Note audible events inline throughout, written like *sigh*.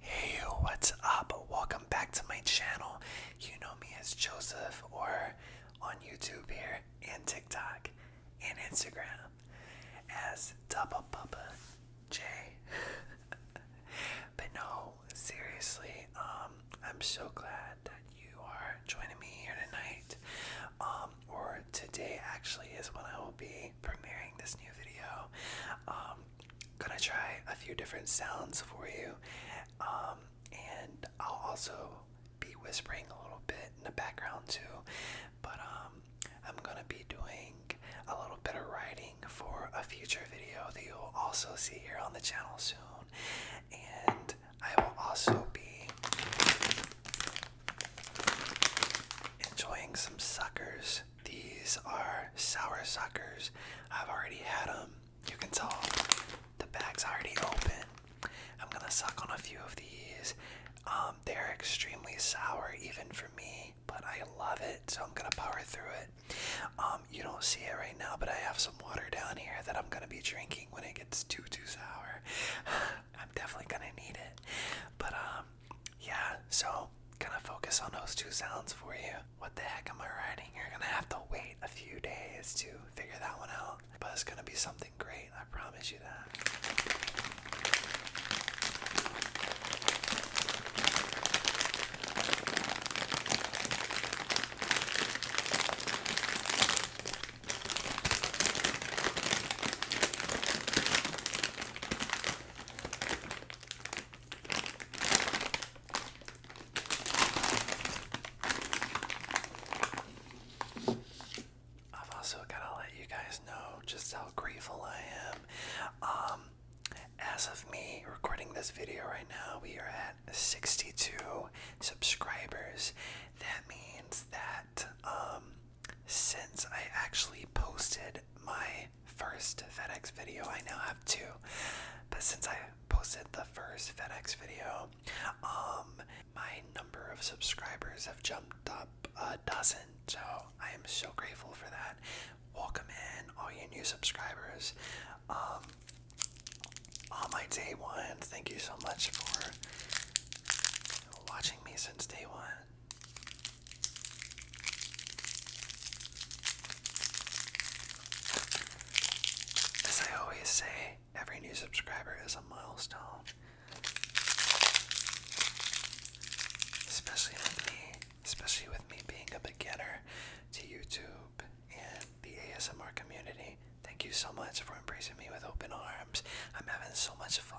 Hey, what's up? Welcome back to my channel. You know me as Joseph or on YouTube here and TikTok and Instagram as Dubba Bubba J. *laughs* but no, seriously, um, I'm so glad that you are joining me here tonight. Um, or today actually is when I will be premiering this new video. Um, gonna try a few different sounds for you, um, and I'll also be whispering a little bit in the background too. But um, I'm gonna be doing a little bit of writing for a future video that you'll also see here on the channel soon, and I will also be. Enjoying some suckers these are sour suckers. I've already had them. You can tell the bag's already open. I'm gonna suck on a few of these. Um, they're extremely sour, even for me, but I love it, so I'm gonna power through it. Um, you don't see it right now, but I have some water down here that I'm gonna be drinking when it gets too too sour. *sighs* I'm definitely gonna need it. But um, yeah, so gonna focus on those two sounds for you. What the heck am I writing? You're gonna have to wait a few days to figure that one out, but it's gonna be something great, I promise you that. I've also got to let you guys know just how grateful I am. Um, as of me recording this video right now, we are at 62 subscribers. That means that um, since I actually posted my first FedEx video. I now have two, but since I posted the first FedEx video, um, my number of subscribers have jumped up a dozen. So I am so grateful for that. Welcome in all your new subscribers. Um, all my day ones, thank you so much for watching me since day one. As I always say, every new subscriber is a milestone. Especially with me, especially with me being a beginner to YouTube and the ASMR community. Thank you so much for embracing me with open arms. I'm having so much fun.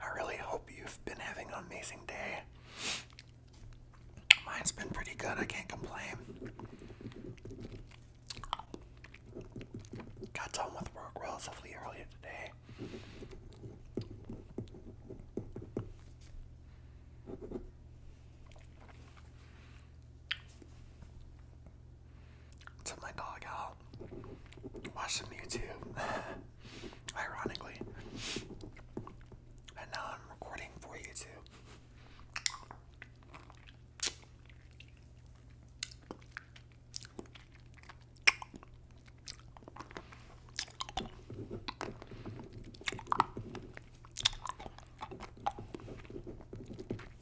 I really hope you've been having an amazing day. Mine's been pretty good, I can't complain. Got done with work relatively early today. Took my dog out, watched some YouTube, *laughs* ironically, and now I'm recording for YouTube.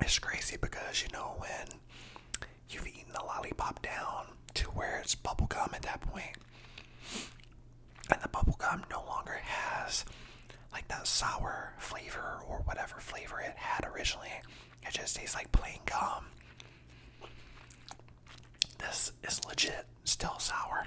It's crazy because you know when you've eaten the lollipop down to where it's bubblegum at that point, and the bubblegum no longer has like that sour flavor or whatever flavor it had originally. It just tastes like plain gum. This is legit still sour.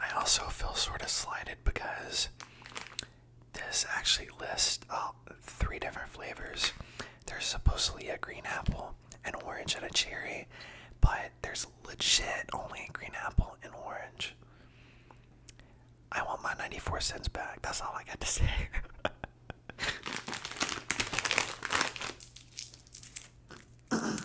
I also feel sort of slighted because this actually lists uh, three different flavors. There's supposedly a green apple, an orange, and a cherry, but there's legit only a green apple and orange. I want my 94 cents back. That's all I got to *laughs* say. *laughs*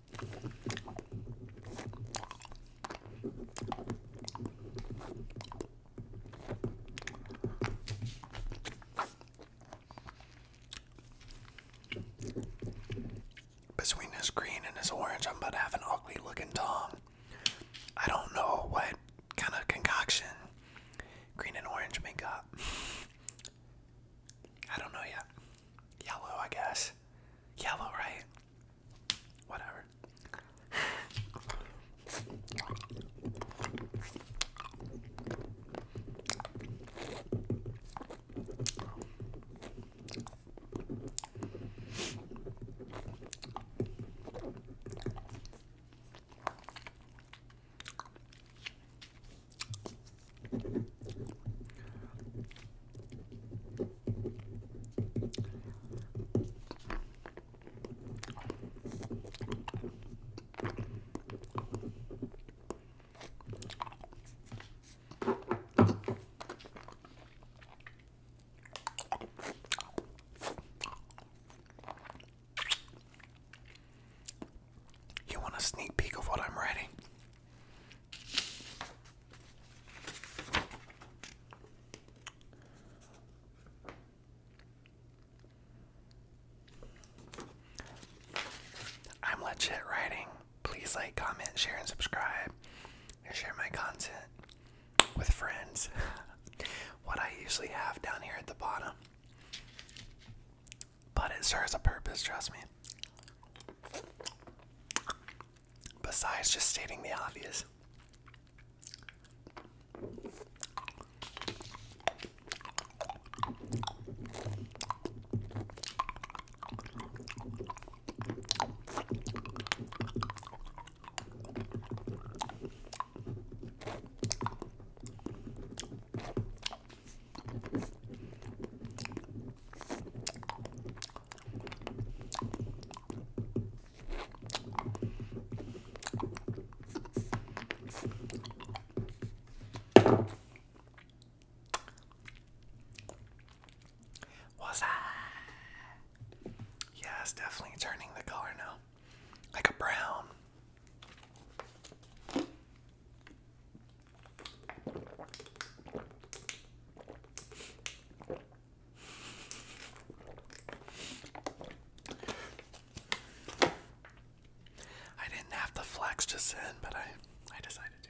Between this green and this orange, I'm about to have an ugly looking Tom. I don't know what kind of concoction green and orange make up. *laughs* I don't know yet. Yellow, I guess yellow, right? Whatever. You want a sneak peek of what I'm writing? I'm legit writing. Please like, comment, share, and subscribe. share my content with friends. *laughs* what I usually have down here at the bottom. But it serves a purpose, trust me. Besides just stating the obvious. Was that? Yeah, it's definitely turning the color now. Like a brown. I didn't have the flex just then, but I I decided to.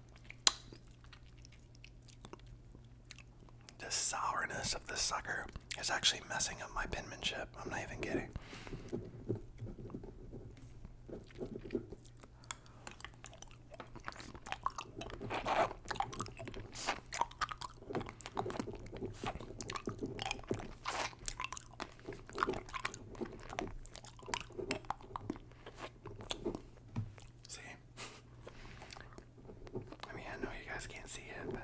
The sourness of this sucker is actually messing up my penmanship. I'm not even kidding. See? I mean, I know you guys can't see it, but.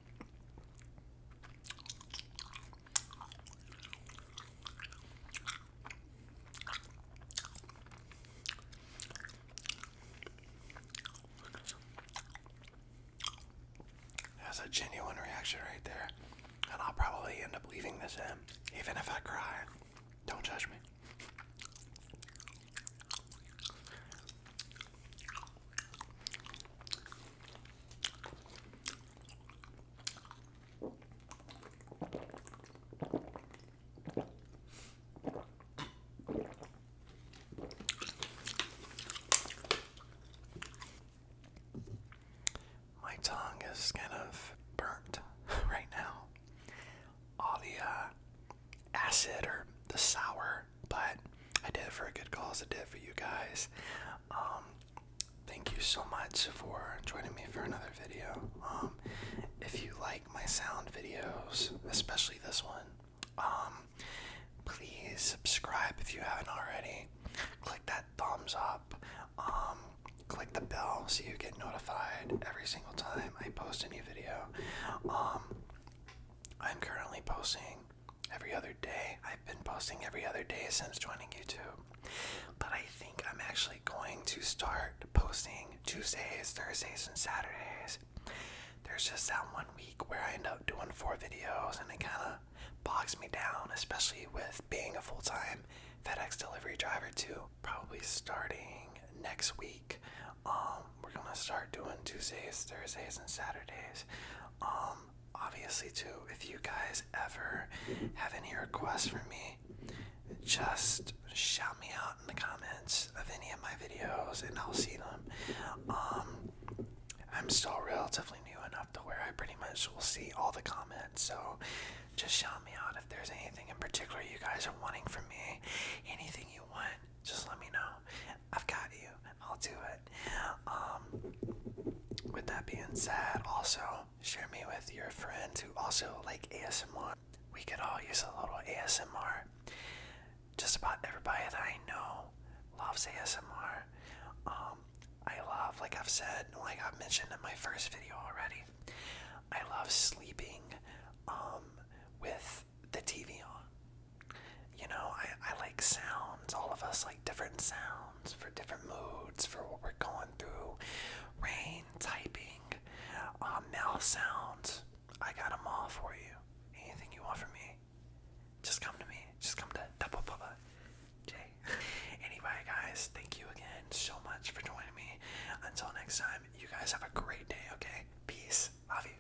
That's a genuine reaction right there. And I'll probably end up leaving this in, even if I cry. Don't judge me. My tongue is kind of burnt *laughs* right now. All the uh, acid or the sour but I did it for a good cause. I did it for you guys. Um, thank you so much for joining me for another video. Um, if you like my sound videos, especially this one, um, please subscribe if you haven't already. Click that thumbs up. click the bell so you get notified every single time I post a new video. I'm currently posting every other day. I've been posting every other day since joining YouTube. But I think I'm actually going to start posting Tuesdays, Thursdays, and Saturdays. There's just that one week where I end up doing four videos and it kind of bogs me down, especially with being a full time FedEx delivery driver, too. Probably starting next week, um, we're gonna start doing Tuesdays, Thursdays, and Saturdays. Um, obviously, too, if you guys ever have any requests for me, just shout me out in the comments of any of my videos, and I'll see them. Um, I'm still relatively new enough to where I pretty much will see all the comments, so just shout me out if there's anything in particular you guys are wanting from me. Anything you want, just let me know. I've got you. I'll do it. Um, with that being said, also share me with your friends who also like ASMR. We could all use a little ASMR. Just about everybody that I know loves ASMR. Um, I love, like I've said, like i mentioned in my first video already, I love sleeping um, with the TV on you know, I, I like sounds. All of us like different sounds for different moods, for what we're going through. Rain, typing, uh, mouth sounds. I got them all for you. Anything you want from me, just come to me. Just come to Double Bubba J. *laughs* anyway, guys, thank you again so much for joining me. Until next time, you guys have a great day, okay? Peace. Love you.